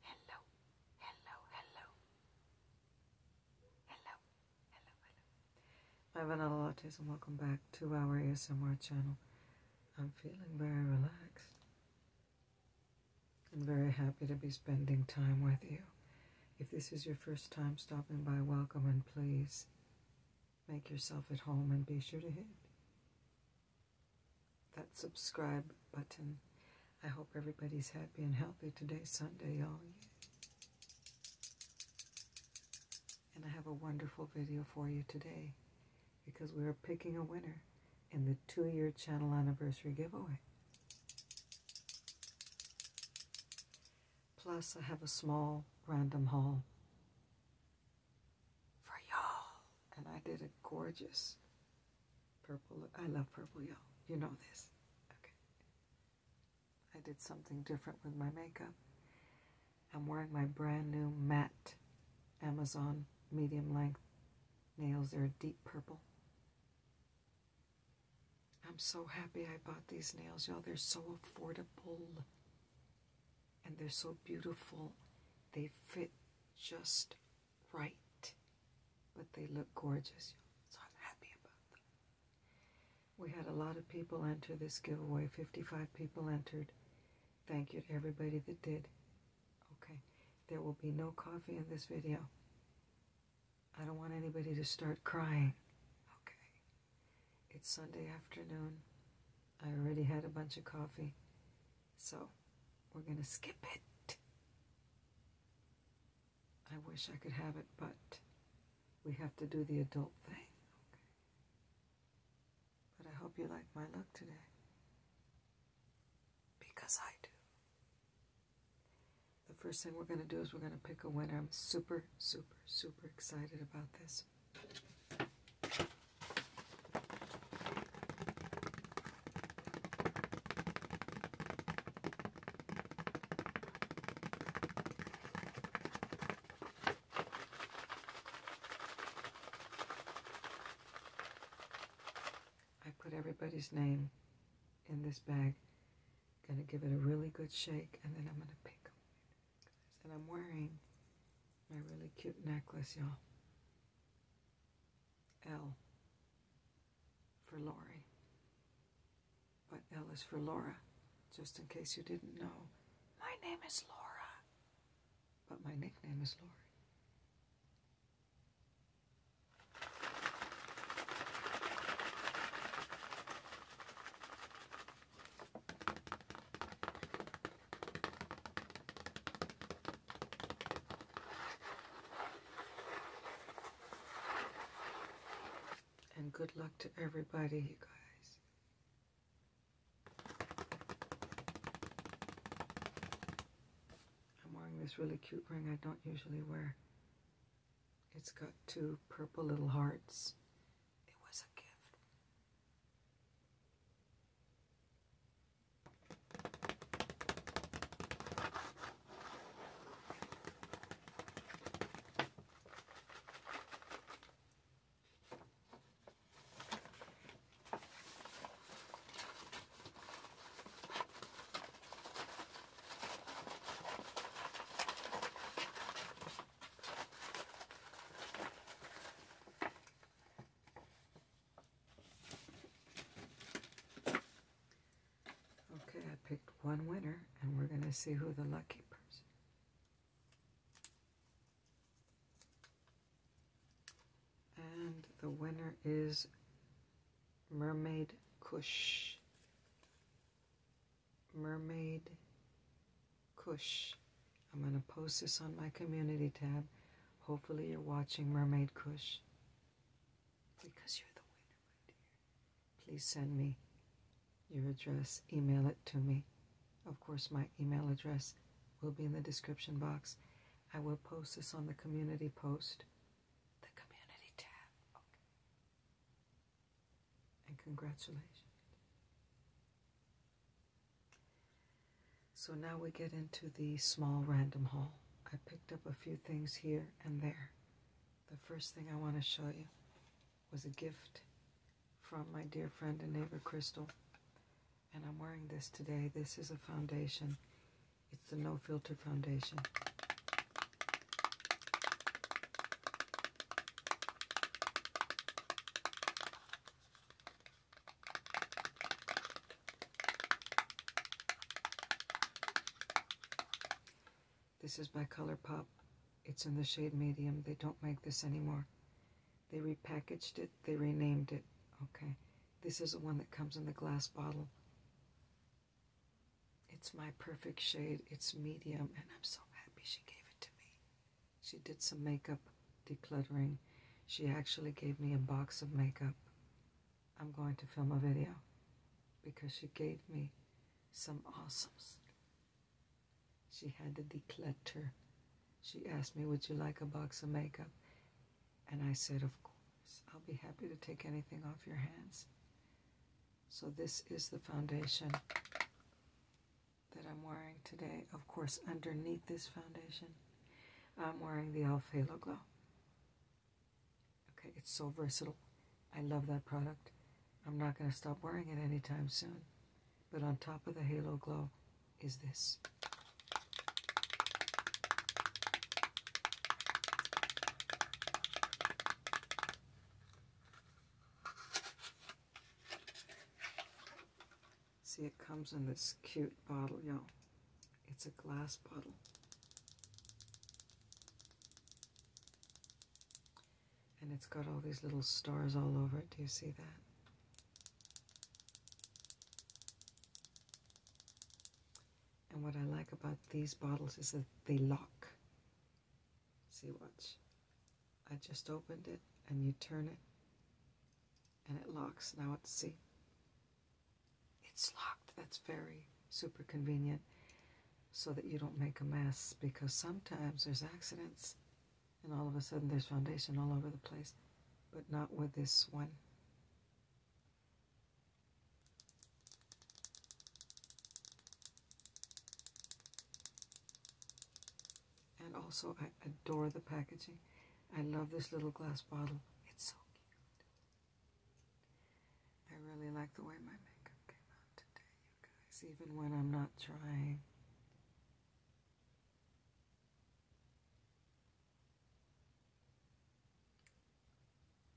Hello, hello, hello. Hello, hello, hello. My vanilla lattes and welcome back to our ASMR channel. I'm feeling very relaxed. I'm very happy to be spending time with you. If this is your first time stopping by, welcome and please make yourself at home and be sure to hit that subscribe button. I hope everybody's happy and healthy today, Sunday, y'all. And I have a wonderful video for you today because we are picking a winner in the two-year channel anniversary giveaway. Plus, I have a small random haul for y'all. And I did a gorgeous purple. Look. I love purple, y'all. You know this. Okay. I did something different with my makeup. I'm wearing my brand new matte Amazon medium length nails. They're a deep purple. I'm so happy I bought these nails, y'all. They're so affordable and they're so beautiful. They fit just right, but they look gorgeous. So happy about them. We had a lot of people enter this giveaway. 55 people entered. Thank you to everybody that did. Okay, there will be no coffee in this video. I don't want anybody to start crying. Okay. It's Sunday afternoon. I already had a bunch of coffee. So we're going to skip it. I wish I could have it, but we have to do the adult thing. But I hope you like my look today. Because I do. The first thing we're going to do is we're going to pick a winner. I'm super, super, super excited about this. I put everybody's name in this bag. Gonna give it a really good shake and then I'm gonna pick And I'm wearing my really cute necklace, y'all. L for Lori. But L is for Laura, just in case you didn't know. My name is Laura, but my nickname is Lori. And good luck to everybody, you guys. I'm wearing this really cute ring I don't usually wear. It's got two purple little hearts. It was a gift. Okay, I picked one winner, and we're going to see who the lucky person and the winner is mermaid Kush, mermaid Kush. i'm going to post this on my community tab hopefully you're watching mermaid Kush. because you're the winner my dear please send me your address email it to me of course my email address will be in the description box i will post this on the community post the community tab. And congratulations. So now we get into the small random haul. I picked up a few things here and there. The first thing I want to show you was a gift from my dear friend and neighbor Crystal. And I'm wearing this today. This is a foundation it's the No Filter Foundation. This is by ColourPop. It's in the shade medium. They don't make this anymore. They repackaged it. They renamed it. Okay. This is the one that comes in the glass bottle. It's my perfect shade. It's medium, and I'm so happy she gave it to me. She did some makeup decluttering. She actually gave me a box of makeup. I'm going to film a video because she gave me some awesomes. She had to declutter. She asked me, Would you like a box of makeup? And I said, Of course, I'll be happy to take anything off your hands. So this is the foundation that I'm wearing today. Of course, underneath this foundation, I'm wearing the e.l.f. Halo Glow. Okay, it's so versatile. I love that product. I'm not going to stop wearing it anytime soon. But on top of the Halo Glow is this. See, it comes in this cute bottle, y'all. It's a glass bottle. And it's got all these little stars all over it. Do you see that? And what I like about these bottles is that they lock. See, watch. I just opened it and you turn it and it locks. Now let's see, it's locked. That's very super convenient so that you don't make a mess because sometimes there's accidents and all of a sudden there's foundation all over the place, but not with this one. And also, I adore the packaging. I love this little glass bottle. It's so cute. I really like the way my makeup came out today, you guys, even when I'm not trying.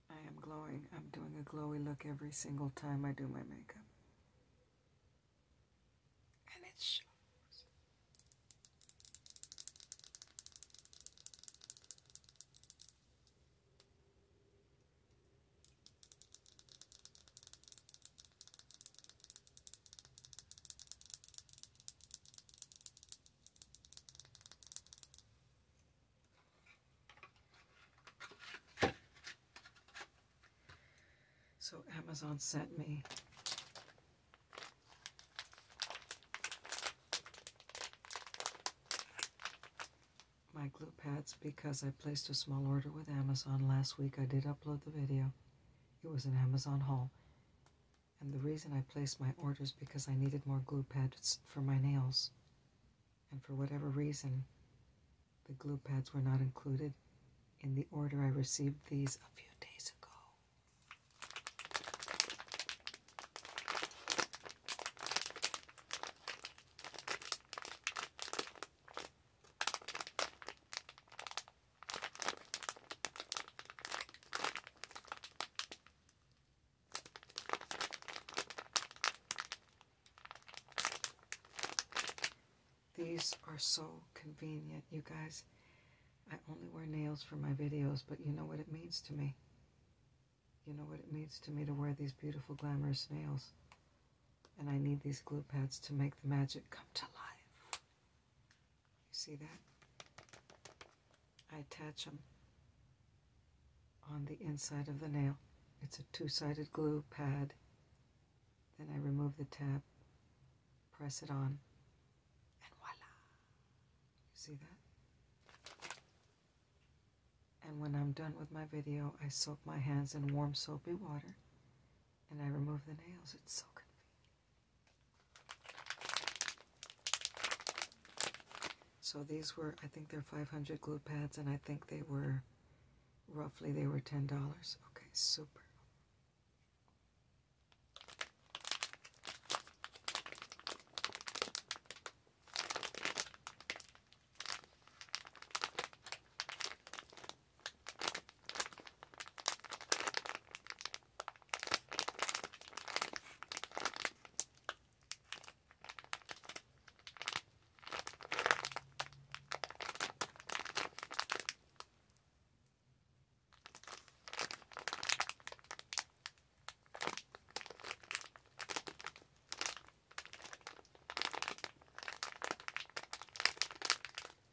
I am glowing. I'm doing a glowy look every single time I do my makeup. And it shows. So Amazon sent me my glue pads because I placed a small order with Amazon last week. I did upload the video. It was an Amazon haul. And the reason I placed my orders because I needed more glue pads for my nails and for whatever reason, the glue pads were not included in the order I received these a few days ago. These are so convenient, you guys. I only wear nails for my videos, but you know what it means to me. You know what it means to me to wear these beautiful, glamorous nails. And I need these glue pads to make the magic come to life. You see that? I attach them on the inside of the nail. It's a two-sided glue pad. Then I remove the tab, press it on, and voila! You see that? And when I'm done with my video, I soak my hands in warm soapy water, and I remove the nails. It's so convenient. So these were, I think they're 500 glue pads, and I think they were, roughly, they were $10. Okay, super.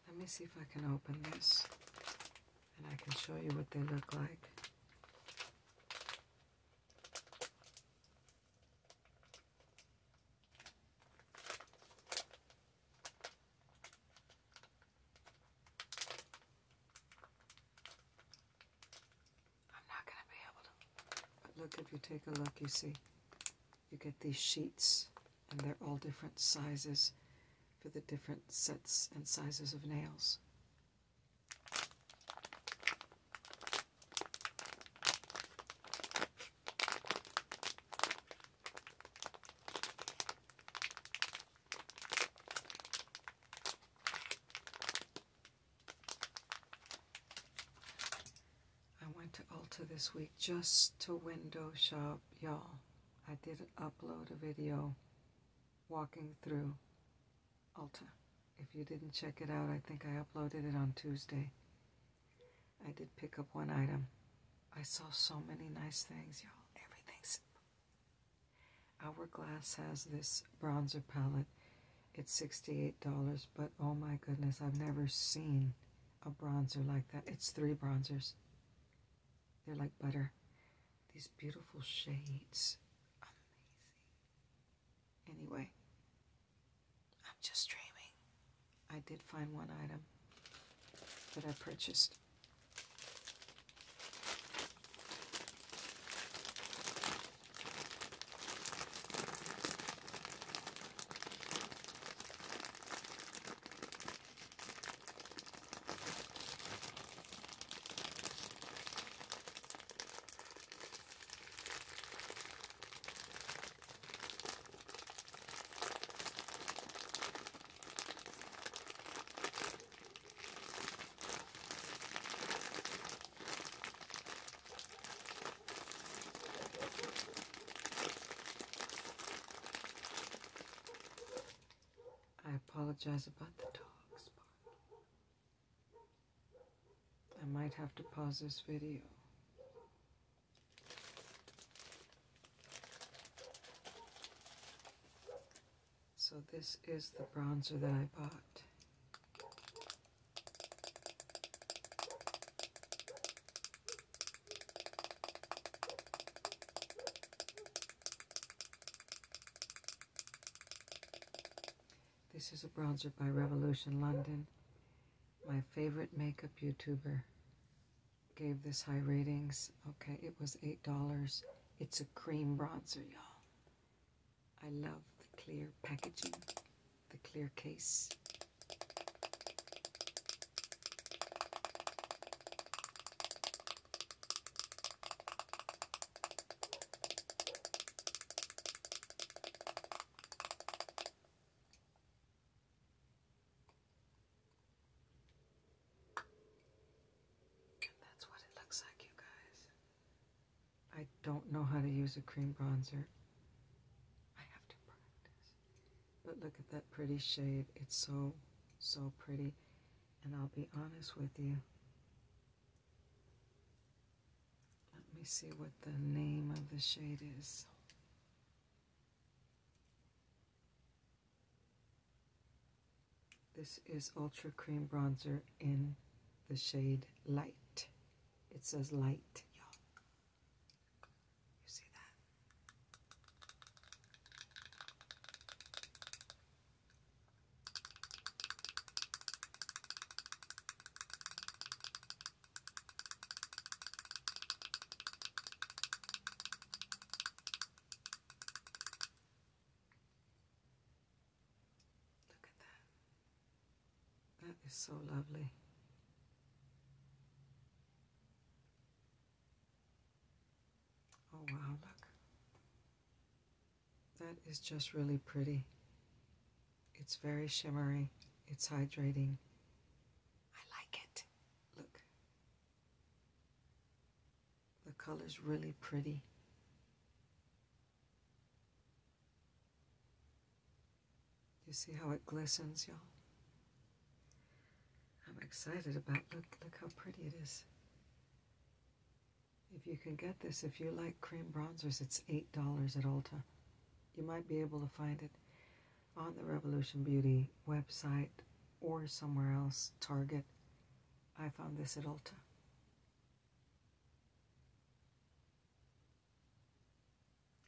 Let me see if I can open this and I can show you what they look like. I'm not going to be able to. look, if you take a look, you see, you get these sheets, and they're all different sizes for the different sets and sizes of nails. I went to Ulta this week just to window shop, y'all. I did upload a video walking through Alta, If you didn't check it out, I think I uploaded it on Tuesday. I did pick up one item. I saw so many nice things, y'all. Everything's. Hourglass has this bronzer palette. It's $68, but oh my goodness, I've never seen a bronzer like that. It's three bronzers. They're like butter. These beautiful shades. Amazing. Anyway, I'm just dreaming. I did find one item that I purchased. I apologize about the dogs barking. I might have to pause this video. So this is the bronzer that I bought. This is a bronzer by Revolution London. My favorite makeup YouTuber gave this high ratings. Okay, it was $8. It's a cream bronzer, y'all. I love the clear packaging, the clear case that's what it looks like, you guys. I don't know how to use a cream bronzer. I have to practice. But look at that pretty shade. It's so, so pretty. And I'll be honest with you. Let me see what the name of the shade is. This is Ultra Cream Bronzer in the shade Light. It says Light, y'all. You see that? Look at that. That is so lovely. Oh, wow, look. That is just really pretty. It's very shimmery. It's hydrating. I like it. Look. The color's really pretty. You see how it glistens, y'all? I'm excited about look look how pretty it is. If you can get this, if you like cream bronzers, it's $8 at Ulta. You might be able to find it on the Revolution Beauty website or somewhere else, Target. I found this at Ulta.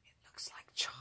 It looks like chocolate.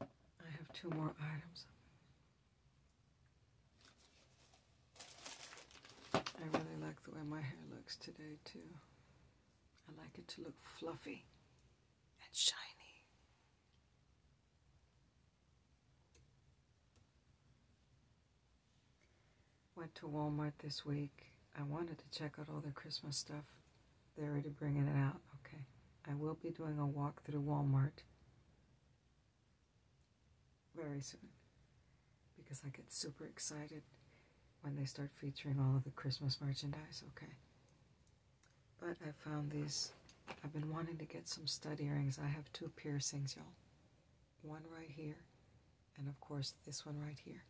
I have two more items. I really like the way my hair looks today, too. I like it to look fluffy and shiny. Went to Walmart this week. I wanted to check out all the Christmas stuff, they're already bringing it out. Okay. I will be doing a walk through Walmart very soon because I get super excited when they start featuring all of the Christmas merchandise. Okay. But I found these. I've been wanting to get some stud earrings. I have two piercings, y'all. One right here, and of course this one right here.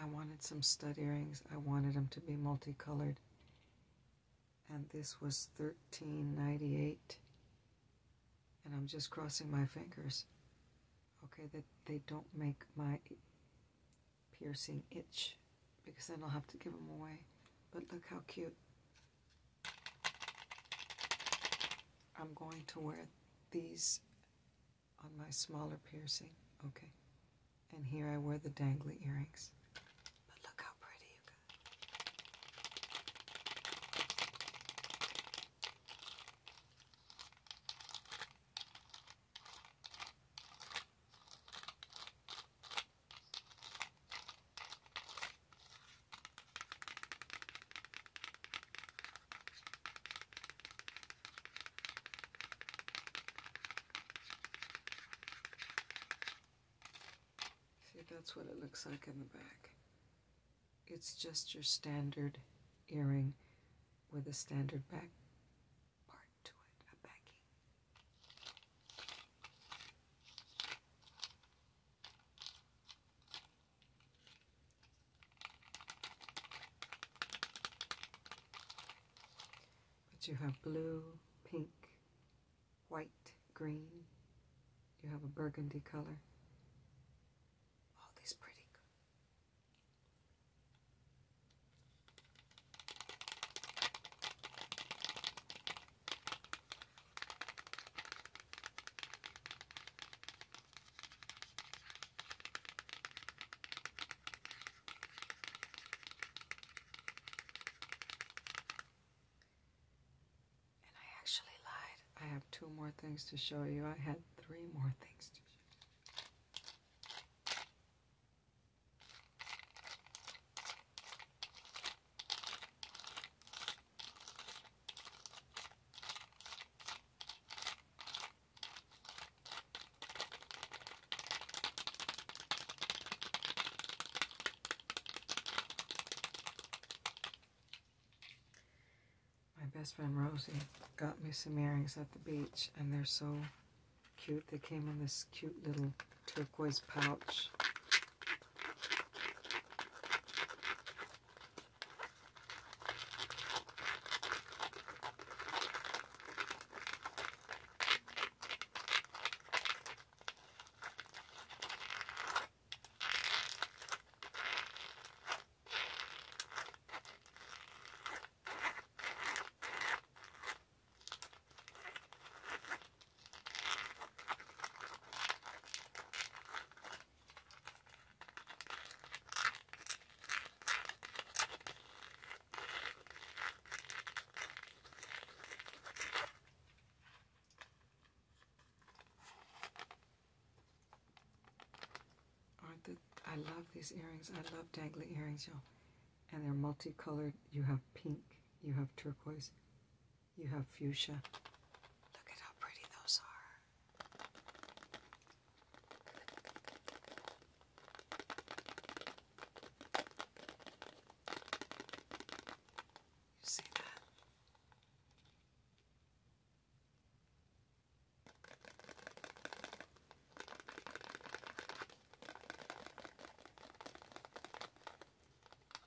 I wanted some stud earrings. I wanted them to be multicolored. And this was thirteen ninety eight. And I'm just crossing my fingers. Okay, that they don't make my piercing itch because then I'll have to give them away. But look how cute. I'm going to wear these on my smaller piercing. Okay. And here I wear the dangly earrings. But look how pretty you got. See, that's what it looks like in the back. It's just your standard earring with a standard back part to it, a backing. But you have blue, pink, white, green. You have a burgundy color. All these pretty and I actually lied. I have two more things to show you. I had three more things to show you. My best friend Rosie got me some earrings at the beach, and they're so cute. They came in this cute little turquoise pouch. Aren't the, I love these earrings. I love dangly earrings, you And they're multicolored. You have pink, you have turquoise, you have fuchsia. Look at how pretty those are. You see that?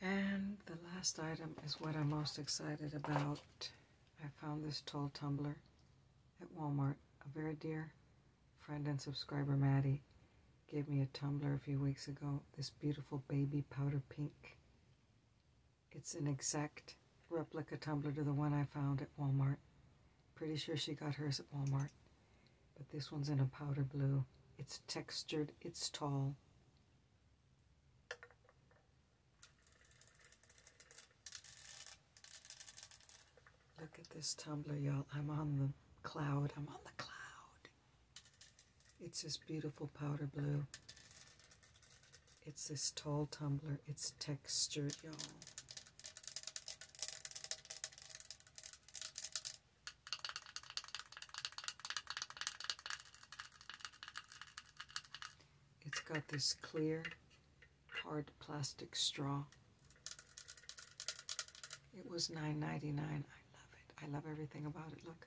And the last item is what I'm most excited about. I found this tall tumbler at Walmart. A very dear friend and subscriber, Maddie, gave me a tumbler a few weeks ago. This beautiful baby powder pink. It's an exact replica tumbler to the one I found at Walmart. Pretty sure she got hers at Walmart but this one's in a powder blue. It's textured, it's tall. Look at this tumbler, y'all. I'm on the cloud. I'm on the cloud. It's this beautiful powder blue. It's this tall tumbler. It's textured, y'all. It's got this clear, hard plastic straw. It was $9.99. I love it. I love everything about it. Look.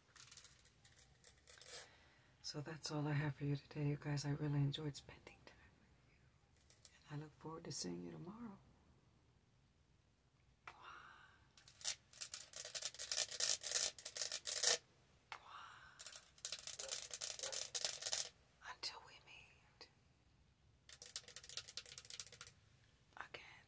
So that's all I have for you today, you guys. I really enjoyed spending time with you. And I look forward to seeing you tomorrow. Until we meet again.